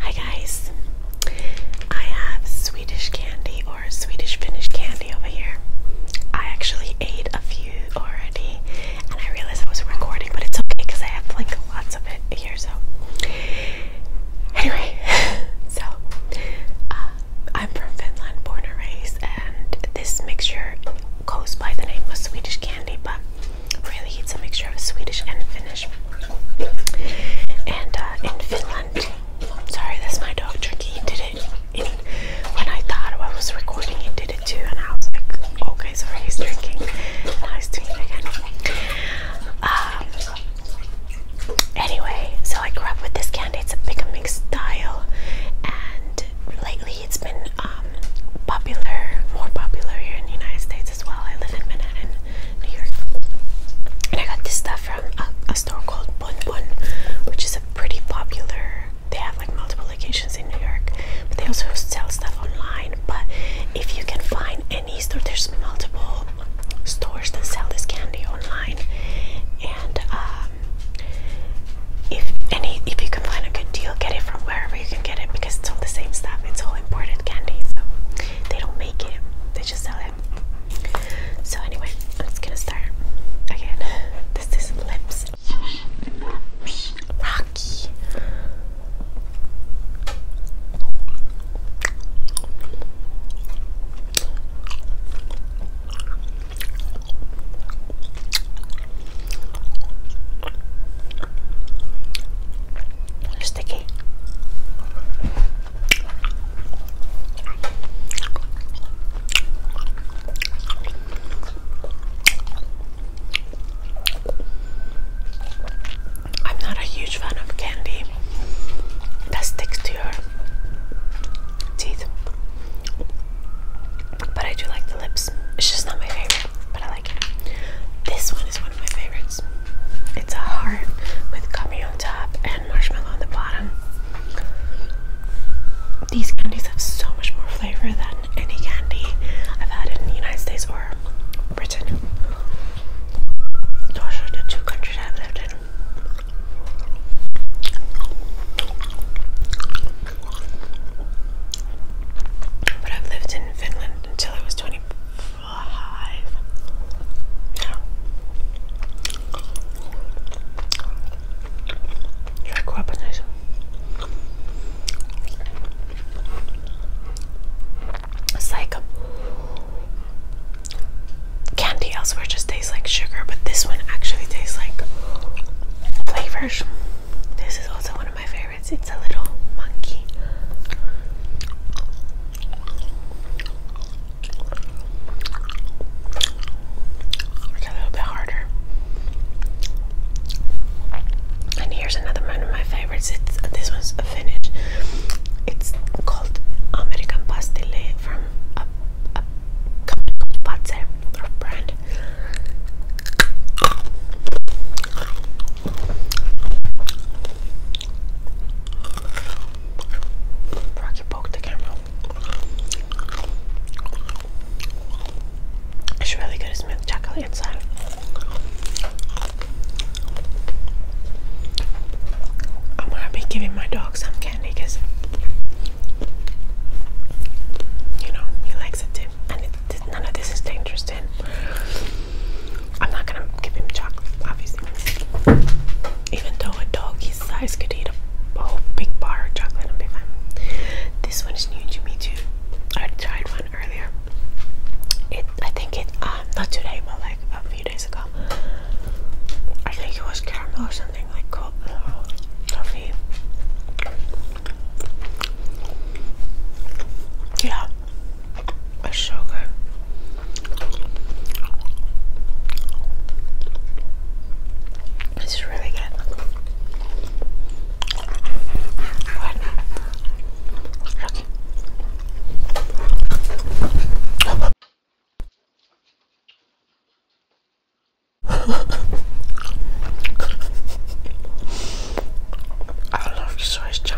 Hi guys, I have Swedish candy or Swedish Finnish candy over here. I actually ate a few already and I realized I was recording, but it's okay because I have like lots of it here. So, anyway, so uh, I'm from Finland, born and raised, and this mixture goes by the name of Swedish candy, but Really, it's a mixture of Swedish and Finnish. And uh, in Finland, sorry, that's my dog Tricky. did it when I thought I was recording. He did it too, and I was like, okay, sorry, he's drinking. Now he's doing it again. Um, anyway, so I grew up with this candy. It's a big mixed style, and lately it's been um, popular, more popular here in the United States as well. I live in Manhattan, New York, and I got this stuff from a, store called Bon Bon, which is a pretty popular. They have like multiple locations in New York, but they also sell stuff online. But if you can find any store, there's multiple stores that sell this candy online, and um, if any if you can find a good deal, get it from wherever you can get it because it's all the same stuff. It's all imported candy, so they don't make it; they just sell it. So anyway, I'm just gonna start again. This is lips, Rocky. Sticky. I'm not a huge fan of candy that sticks to your teeth, but I do like the lips. It's just not my favorite, but I like. This one is one of my favorites. It's a heart with gummy on top and marshmallow on the bottom. These candies have so much more flavor than any candy I've had in the United States or Britain. Those are the two countries I've lived in. But I've lived in Finland until I was 25. Now, like weaponization. It's like candy elsewhere just tastes like sugar, but this one actually tastes like flavors. This is also one of my favorites it's a little monkey. a little bit harder. And here's another one of my favorites. It's this one's a Finnish. It's called American Pastille from a, company called Patzer brand. Rocky poked the camera. It's really good. It's milk chocolate inside. I'm gonna be giving my dog some candy because you know he likes it too, and it None of this is dangerous then. I'm not gonna give him chocolate, obviously. Even though a dog his size could eat a whole big bar of chocolate and be fine. This one is new to me too. I tried one earlier. I think it, um, not today, but like a few days ago. I think it was caramel or something like coffee. Yeah, that's so good. It's really good. I love you so much,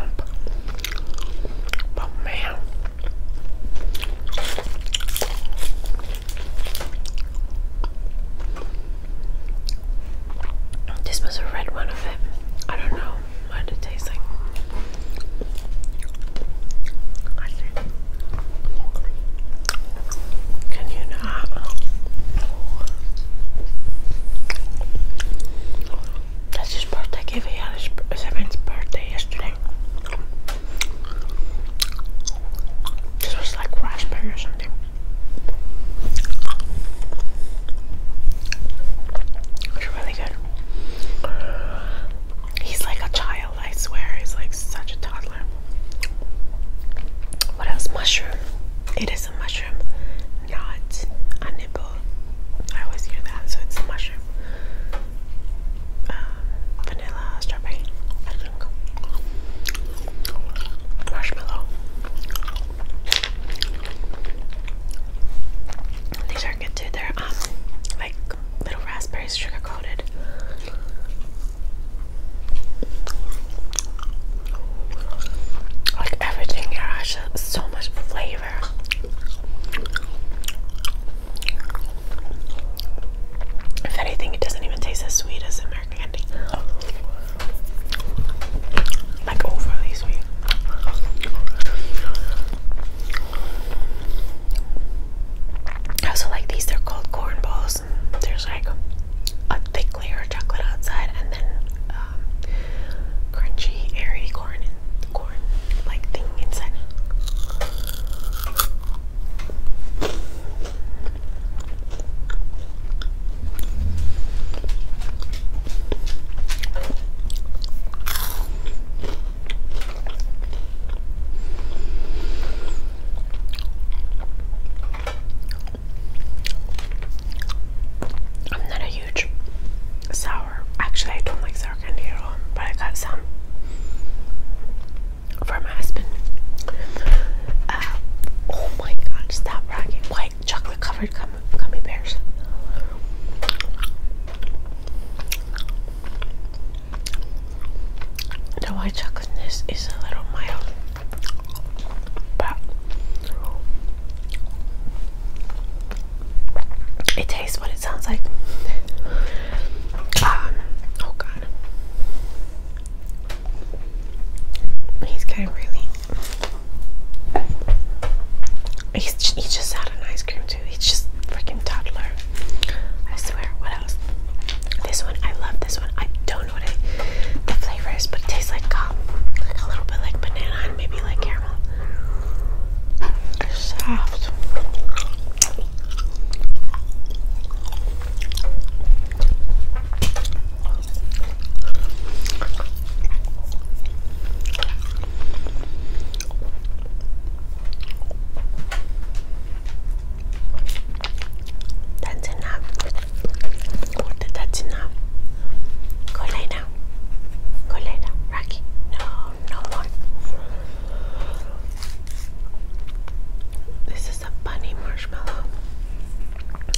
But man, this was a red one of it. I don't know what it tastes like. Can you not? That's his birthday giving out his seventh birthday yesterday. This was like raspberry or something. It's really good. He's like a child, I swear. He's like such a toddler. What else? Mushroom. It is a mushroom, not a nipple. I always hear that, so it's a mushroom. Um, vanilla, strawberry, I think. Marshmallow. These are good too. They're um like little raspberries sugar coated. Like everything here so much flavor. If anything, it doesn't even taste as sweet as American candy. Like overly sweet. I also like these, they're called corn balls there's like a thick layer of chocolate outside and then um, crunchy airy corn corn like thing inside. I'm not a huge sour. Actually, I don't like sour candy at all, but I got some for my husband. Uh, oh my god, stop rocking. White chocolate covered gum bears. The white chocolate is a little mild it tastes what it sounds like. Ah, oh god. He's kind of really. He's, he just had an ice cream too. He's just freaking toddler. I swear. What this one, I love this one. I don't know what it, the flavor is, but it tastes like a little bit like banana and maybe like caramel. It's soft. 立ちな俺立ちなこれなこれなラッキー no no more this is a bunny marshmallow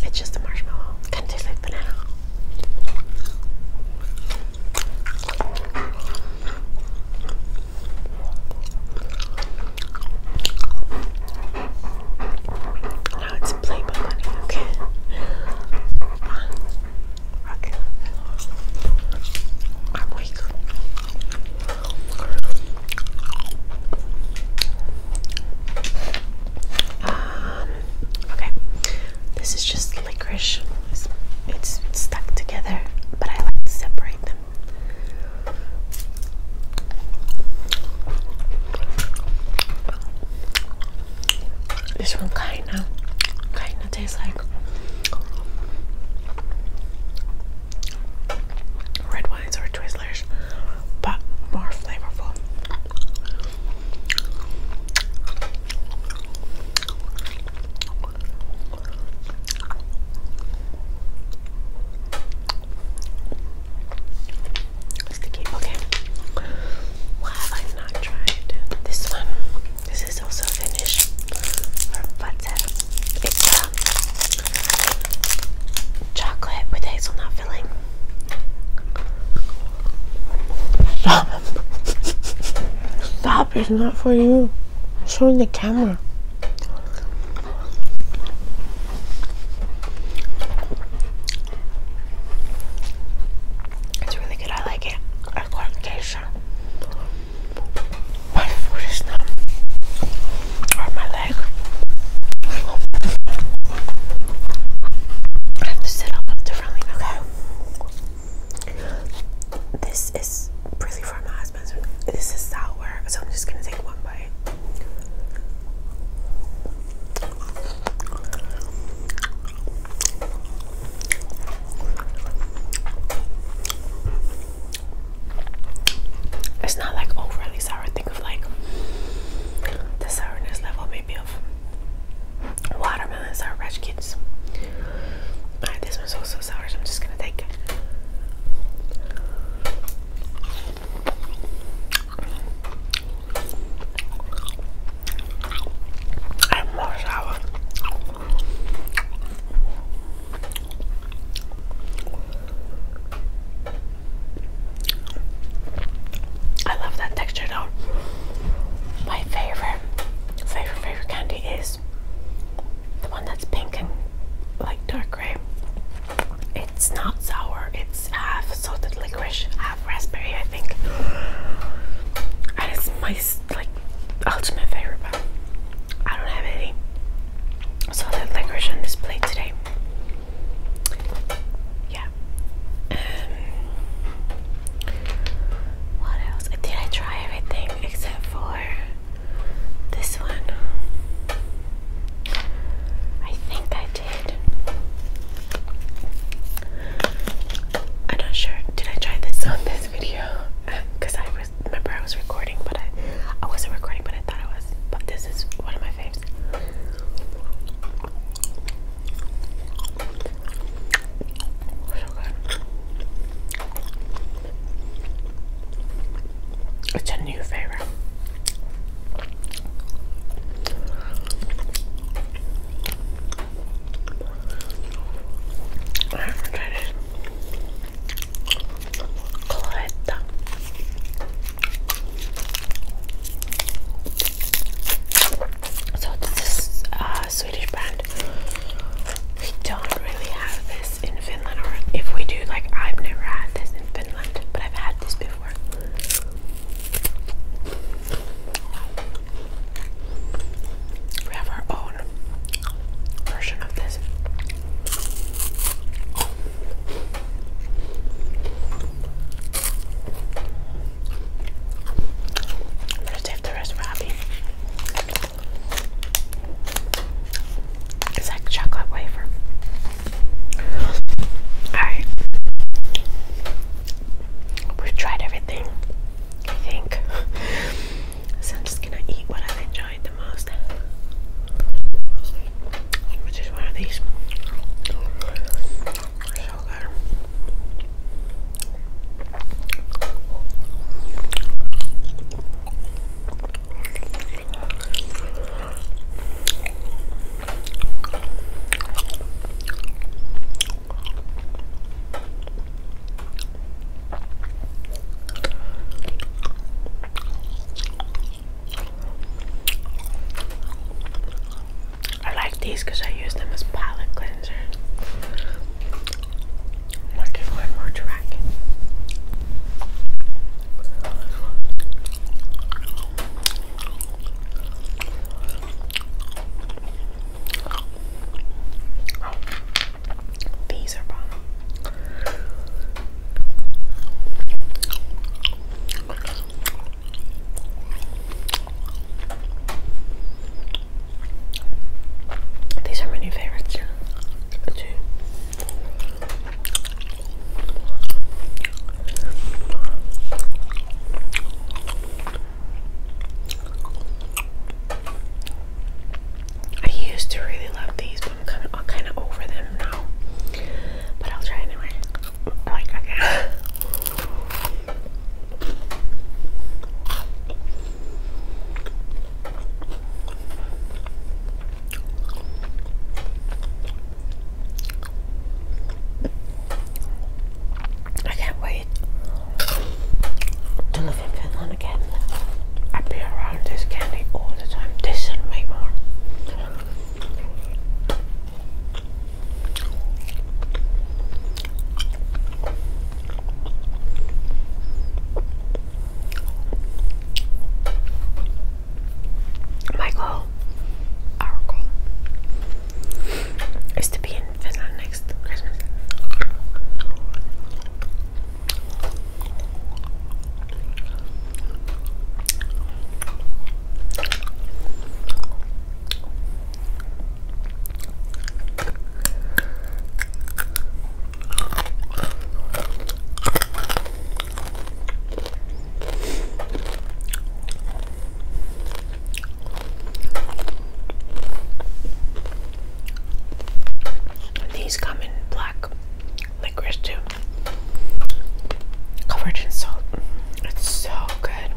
it's just a marshmallow kind of tastes banana now it's Playboy money, okay? Okay. I'm awake. Um, okay. This is just licorice. it's stuck together, but I like to separate them this one kinda, kinda tastes like red wines or Twizzlers, but more flavorful. Sticky, okay. Why have I not tried this one? This is also Finnish for butter. It's um, chocolate with hazelnut filling. Stop! Stop! It's not for you. I'm showing the camera. It's really good. I like it. I got occasion. My foot is Or my leg. I have to sit up differently. Okay. This is really for this is sour, so I'm just gonna take one bite. It's not like overly sour. Think of like the sourness level, maybe of watermelon sour patch this one's also sour, so I'm just gonna take and more sour. I love that texture though. My favorite, favorite, favorite candy is the one that's pink and like dark gray. It's not sour, it's half salted licorice, half raspberry, I think. And it's my like ultimate favorite, but I don't have any salted licorice on this plate today. Yeah. Um, what else? Did I try everything except for this one, I think I did. I'm not sure. Did I try this on this video? Because I remember I was recording, but I I wasn't recording, but I thought I was. But this is one of my faves. So oh good. It's a new favorite. I haven't tried it. Coletta. So this uh, Swedish brand. We don't really have this in Finland, if we do, like I've never had this in Finland, but I've had this before. We have our own version of this. I'm save the rest for Abby. It's like chocolate wafer. Alright. We've tried everything, I think. so I'm just gonna eat what I've enjoyed the most. Which is one of these. So good. I like these because I use them as palette cleanser. Like if more dry these are These are my new favorites I used to really love these, but I'm kind of, over them now. But I'll try anyway. Like okay. I can't wait to live in Finland again. I be around this candy all the time. This and way more. My goal, our goal, is to be in Finland next Christmas. These come in black licorice too, covered in salt. It's so good.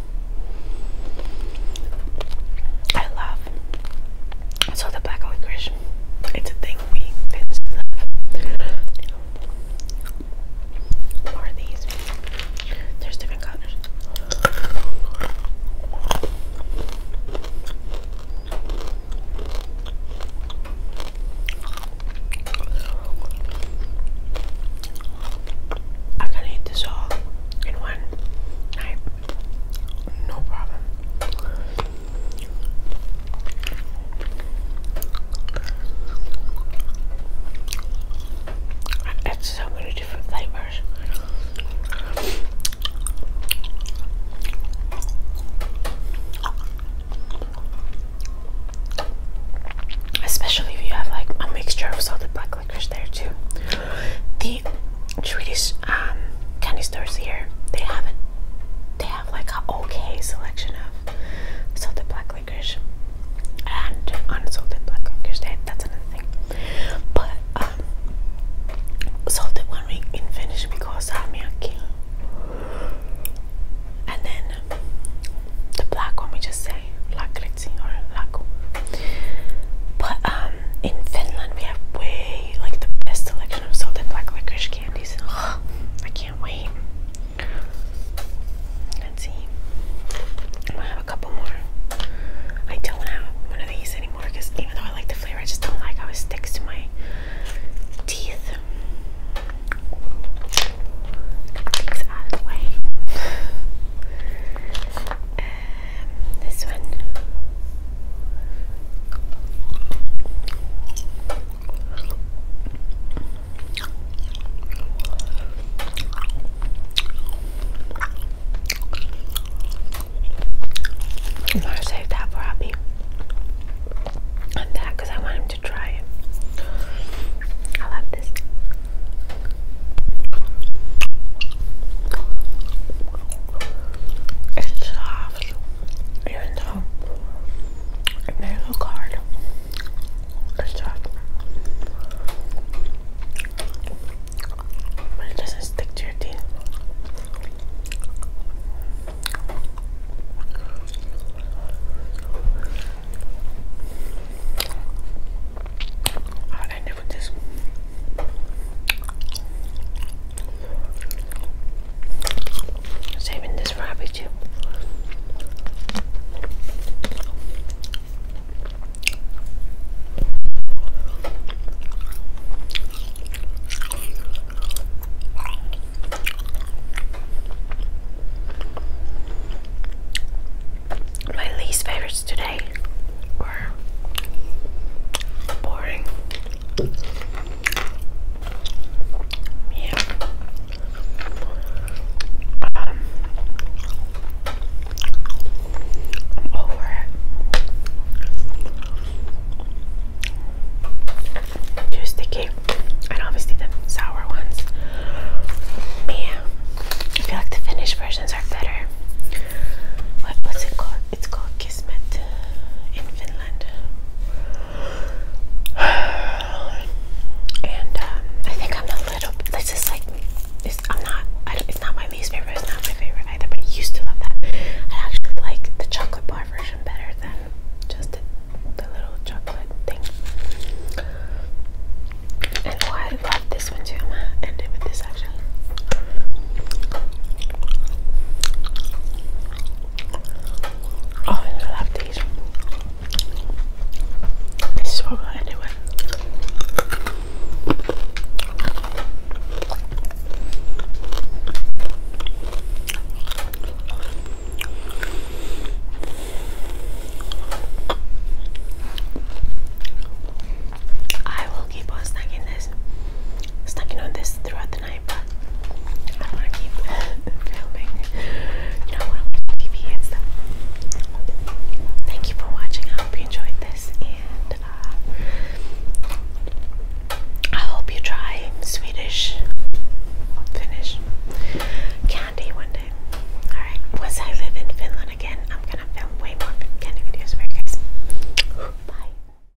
I love so the black licorice. It's a thing make these. There's different colors. I can eat this all in one night. No problem. It's so many different flavors. Especially if you have like a mixture of salted black licorice there too. The Swedish um, canisters here, they have it. They like an okay selection of salted black licorice and unsalted black licorice. That, that's another thing. But um, salted one we in Finnish we call salmiakki, and then the black one we just say lakritsi or laku. But um, in Finland we have way like the best selection of salted black licorice candies. Oh, I can't wait. Let's see. I'm gonna have a couple more. I don't have one of these anymore because even though I like the flavor, I just don't like how it sticks to my teeth. these out of the way. Um, this one I'm gonna save that for Abby. And I want him to try it. I love this. It's soft even though um, it may look hard, it's tough. But it doesn't stick to your teeth. I'll end it with this. Saving this rabbit too. My least favorites today were boring. Yeah. Um, over Too sticky. And obviously the sour ones. Yeah. I feel like the finished versions are better. what's it called? It's called Kismet uh, in Finland. And uh, I think I'm a little. This is like. It's, I'm not. it's not my least favorite. It's not my favorite either. But I used to love that. I actually like the chocolate bar version better than just the, little chocolate thing. And oh, I love this one too. end it with this actually. Oh, I love these. This is what we're going with. I will keep on snacking this snacking on this throughout the night, but I want to keep filming. You know, TV and stuff. Thank you for watching. I hope you enjoyed this, and uh, I hope you try Swedish, Finnish candy one day. Alright, once I live in Finland again, I'm gonna film way more candy videos for you guys. Bye.